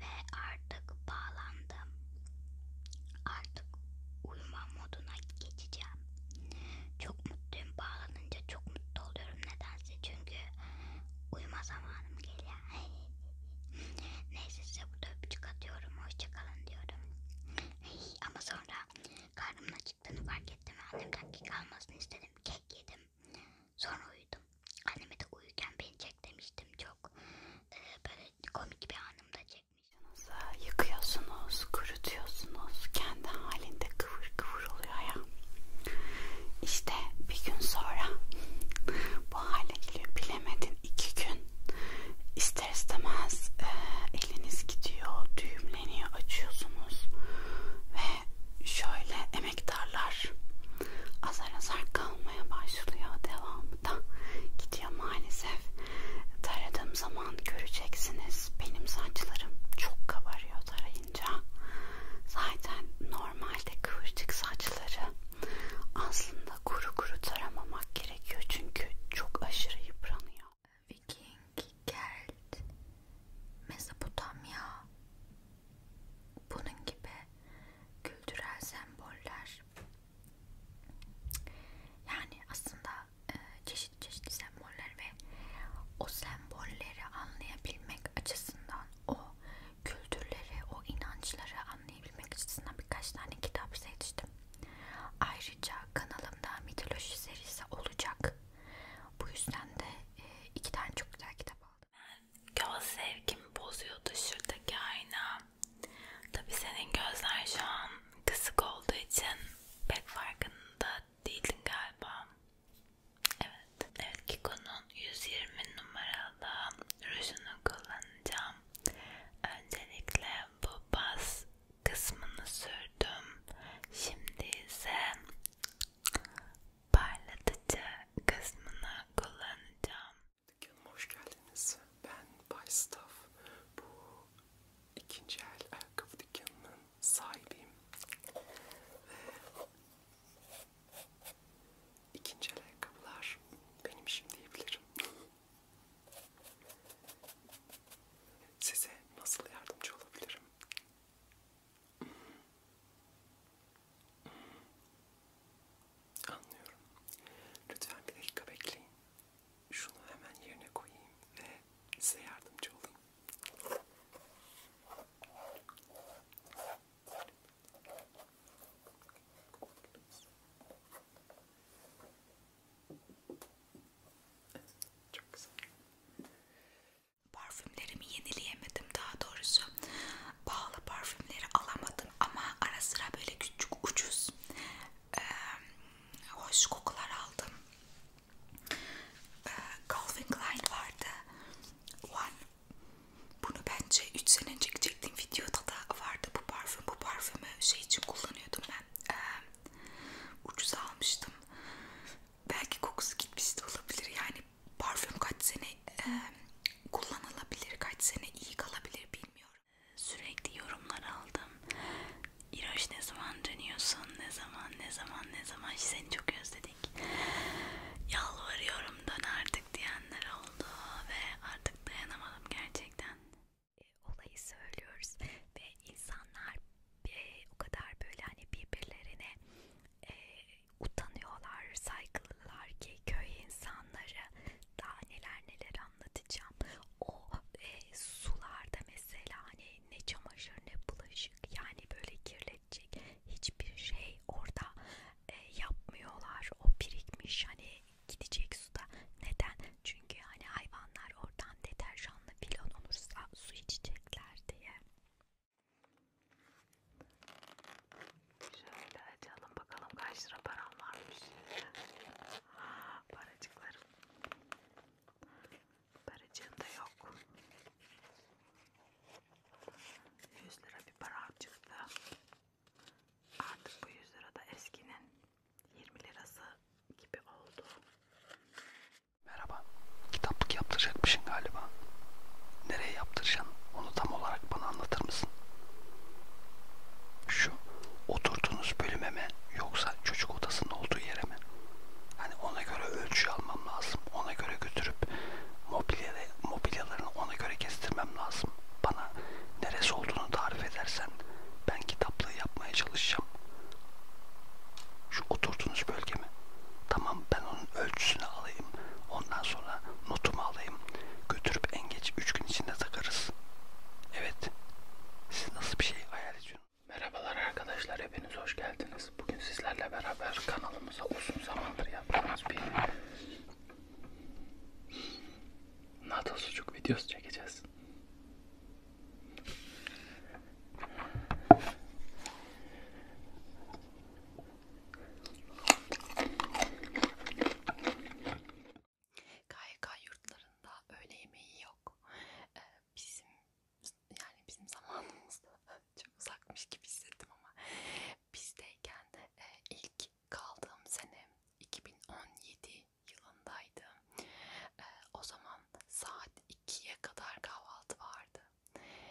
Ve artık bağlandım. Artık uyuma moduna geçeceğim. Çok mutluyum bağlanınca çok mutlu oluyorum nedense çünkü uyuma zamanım geliyor. Neyse size burada öpücük atıyorum. Hoşçakalın diyorum. Ama sonra karnımın acıktığını fark ettim. Annemden kek almasını istedim. Kek yedim. Sonra uyudum. Anneme de uyurken beni çek demiştim çok. Ee, böyle komik bir anımda çekmiştim. Yıkıyorsunuz, kurutuyorsunuz. Kendi halinde kıvır kıvır oluyor ya. İşte bir gün sonra bu hale geliyor. Bilemedin iki gün. İster istemez e, eliniz gidiyor, düğümleniyor, açıyorsunuz ve şöyle emektarlar azar azar kalmaya başlıyor devamı da gidiyor maalesef taradığım zaman göreceksiniz benim saçlarım çok kabarıyor tarayınca zaten normalde kıvırcık saçları aslında kuru kuru taramamak gerekiyor çünkü çok aşırı yıpranıyor Viking, Kelt, Mezopotamya bunun gibi kültürel semboller yani aslında çeşitli çeşitli semboller ve o sembolleri anlayabilmek açısından o kültürleri, o inançları anlayabilmek açısından birkaç tane kitap seçtim. Ayrıca kanalımda mitoloji serisi olacak. Bu yüzden de e, iki tane çok güzel kitap aldım. Göz zevkimi bozuyordu şuradaki ayna. Tabi senin gözler şu an kısık olduğu için pek farkında değildin galiba. Evet. Evet Kiko'nun 120 numaralı rujunu kullanacağım. Öncelikle bu baz kısmını sürdüm. Şimdi ise parlatıcı kısmını kullanacağım. Dükkanıma hoş geldiniz. Ben Bay Staff. Bu ikinci el ayakkabı dükkanının sahibiyim. Ve ikinci el ayakkabılar benim işim diyebilirim. Size nasıl yardımcı olabilirim? Anlıyorum. Lütfen bir dakika bekleyin. Şunu hemen yerine koyayım ve size yardımcı olayım. Çok güzel. Parfümlerimi yenileyemedim daha doğrusu. Pahalı parfümleri alamadım ama ara sıra böyle küçük ucuz e, hoş kokular aldım. E, Calvin Klein vardı. One. Bunu bence 3 sene önce çektiğim videoda da vardı bu parfüm. Bu parfümü şey için kullanıyordum ben. E, Ucuz almıştım. Belki kokusu gitmiş de olabilir. Yani parfüm kaç sene e, kullanılabilir, kaç sene iyi kalabilir bilmiyorum. Sürekli yorumlar aldım. İroş ne zaman dönüyorsun? Ne zaman, ne zaman, ne zaman? Seni çok özledik. Yalvarıyorum dön artık diyenler oldu ve artık dayanamadım gerçekten e, olayı söylüyoruz ve insanlar e, o kadar böyle hani birbirlerine e, utanıyorlar, saygılılar ki köy insanları daha neler neler anlatacağım. O e, sularda mesela hani ne çamaşır ne bulaşık yani böyle kirletecek hiçbir şey orada e, yapmıyorlar. O birikmiş hani gidecek suda. Neden? Çünkü hani hayvanlar oradan deterjanlı filon olursa su içecekler diye. Şöyle açalım bakalım kaç lira param varmış. Paracıklarım. Paracığım da yok. 100 lira bir param çıktı. Artık bu 100 lira da eskinin 20 lirası gibi oldu. Merhaba. Kitaplık yaptıracakmışsın galiba. Nereye yaptıracaksın? Onu tam olarak bana anlatır mısın? Şu oturduğunuz bölüme mi yoksa çocuk odasının olduğu yere mi? Hani ona göre ölçü almam lazım. Ona göre götürüp mobilyada, mobilyalarını ona göre kestirmem lazım. Bana neresi olduğunu tarif edersen ben kitaplığı yapmaya çalışacağım. Şu oturduğunuz bölge mi? Tamam ben onun ölçüsünü alayım. Ondan sonra notumu alayım. Götürüp en geç 3 gün içinde takarız. Evet. Siz nasıl bir şey hayal ediyorsunuz? Merhabalar arkadaşlar hepiniz hoş geldiniz. Bugün sizlerle beraber kanalımıza uzun zamandır yaptığımız bir NATO sucuk videosu çekeceğiz. KYK yurtlarında öğle yemeği yok. Ee, bizim yani bizim zamanımızda çok uzakmış gibi hissettim ama bizdeyken e, ilk kaldığım sene 2017 yılındaydı. E, ee, o zaman saat 2'ye kadar kahvaltı vardı.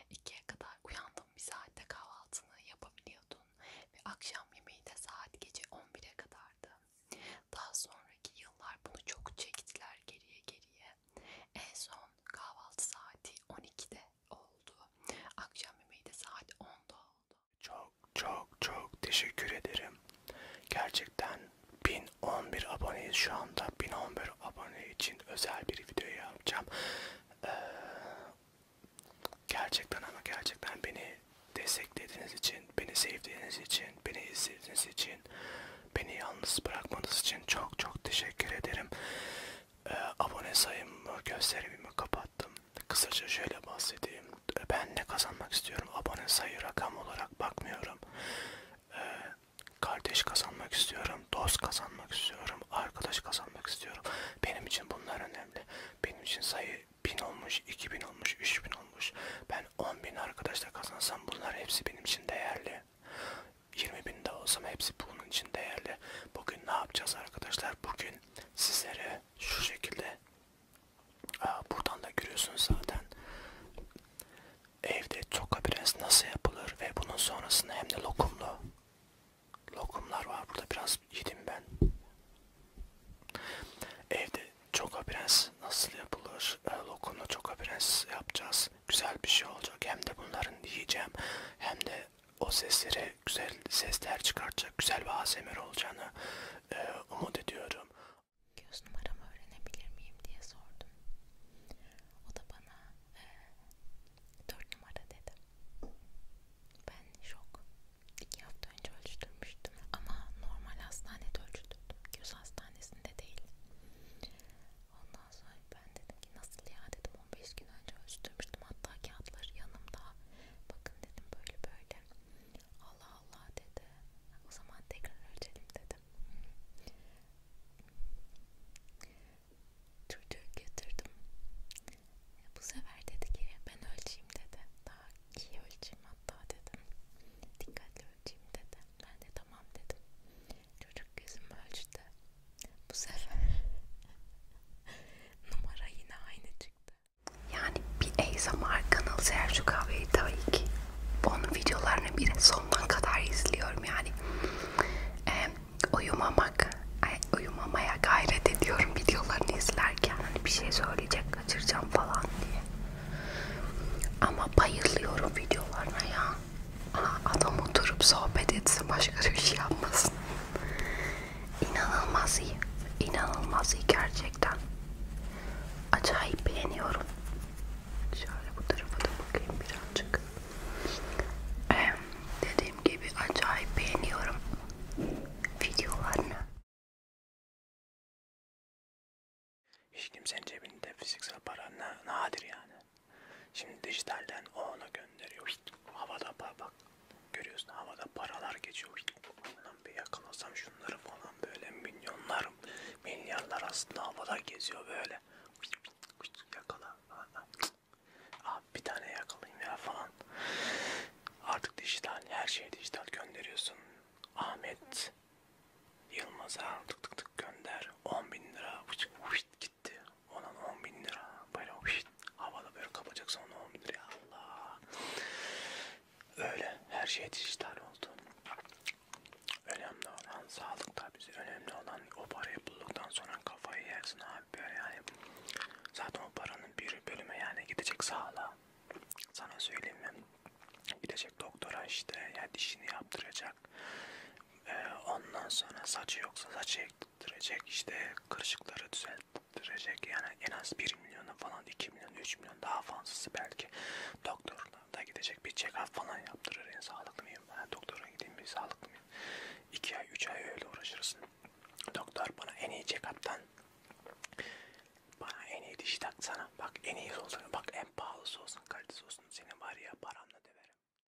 2'ye kadar uyandım bir saatte kahvaltını yapabiliyordun ve akşam yemeği de saat gece 11'e kadardı. Daha sonraki yıllar bunu çok çektiler geriye geriye. En son kahvaltı saati 12'de oldu. Akşam yemeği de saat 10'da oldu. Çok çok çok teşekkür ederim. Gerçekten 1011 aboneyiz şu anda. 1011 abone için özel bir video yapacağım. Ee, gerçekten ama gerçekten beni desteklediğiniz için, beni sevdiğiniz için, beni izlediğiniz için, beni yalnız bırakmanız için çok çok teşekkür ederim. Ee, abone sayımı, gösterimimi kapattım. Kısaca şöyle bahsedeyim. Ben ne kazanmak istiyorum? Abone sayı rakam olarak bakmıyorum. Ee, kardeş kazanmak istiyorum. Dost kazanmak istiyorum. Arkadaş kazanmak istiyorum. Benim için bunlar önemli. Benim için sayı 1000 olmuş, 2000 olmuş, 3000 olmuş. Ben 10.000 arkadaşla kazansam bunlar hepsi benim için değerli. 20.000 de olsam hepsi bunun için değerli. Bugün ne yapacağız arkadaşlar? Bugün sizlere şu şekilde buradan da görüyorsunuz zaten evde çoka biraz nasıl yapılır ve bunun sonrasında hem de lokumlu lokumlar var burada biraz yedim ben evde çoka prens nasıl yapılır ee, lokumlu çoka prens yapacağız güzel bir şey olacak hem de bunların yiyeceğim hem de o seslere güzel sesler çıkartacak güzel bir ASMR olacağını e, umut ediyorum. Göz numaramı öğrenebilir miyim diye sordum. O da bana e, 4 numara dedi. Ben şok. 2 hafta önce ölçtürmüştüm ama normal hastanede ölçtürdüm. Göz hastanesinde değil. Ondan sonra ben dedim ki nasıl ya dedim yaptım 15 gün önce ölçtürmüştüm hatta kağıtları yanımda bakın dedim böyle böyle Allah Allah dedi o zaman tekrar ölçelim dedim çocuğu götürdüm bu sefer dedi ki ben ölçeyim dedi daha iyi ölçeyim hatta dedim dikkatli ölçeyim dedi ben de tamam dedim çocuk gözümü ölçtü bu sefer numara yine aynı çıktı. Yani bir ASMR kanalı Sercu Kahve'yi tabii ki onun videolarını bir sonuna kadar izliyorum yani. E, uyumamak, ay, uyumamaya gayret ediyorum videolarını izlerken. Hani bir şey söyleyecek, kaçıracağım falan diye. Ama bayılıyorum videolarına ya. Adam oturup sohbet etsin, başka bir şey yapmasın. İnanılmaz iyi. İnanılmaz iyi gerçekten. Acayip beğeniyorum. Şöyle bu tarafa da bakayım birazcık. Ee, dediğim gibi acayip beğeniyorum videolarını. Hiç kimsenin cebinde fiziksel para ne, nadir yani. Şimdi dijitalden o ona gönderiyor. Havada para bak. Görüyorsun havada paralar geçiyor. Lan bir yakalasam şunları falan böyle milyonlar, milyarlar aslında havada geziyor böyle. Yakala. Abi bir tane yakalayayım ya falan. Artık dijital, her şey dijital gönderiyorsun. Ahmet Yılmaz'a tık tık tık gönder. 10 bin lira. Vişt, vişt, gitti. Onun 10 bin lira. Böyle şişt, havada böyle kapacaksa onun 10 bin lira. Allah. Öyle. Her şey dijital oldu. Önemli olan sağlık tabii. Önemli olan o parayı bulduktan sonra kafayı yersin abi. Böyle yani zaten o paranın bir bölümü yani gidecek sağlığa. Sana söyleyeyim ben. Gidecek doktora işte ya dişini yaptıracak. Ee, ondan sonra saçı yoksa saçı düzelttirecek işte kırışıkları düzelttirecek yani en az 1 milyona falan 2 milyon 3 milyon daha fazlası belki doktoruna da gidecek bir check up falan yaptırır yani sağlıklı mıyım ben doktora gideyim bir sağlıklı mıyım 2 ay 3 ay öyle uğraşırsın doktor bana en iyi check up'tan bana en iyi diş taksana bak en iyi olsun bak en pahalısı olsun kalitesi olsun senin var ya paramla döverim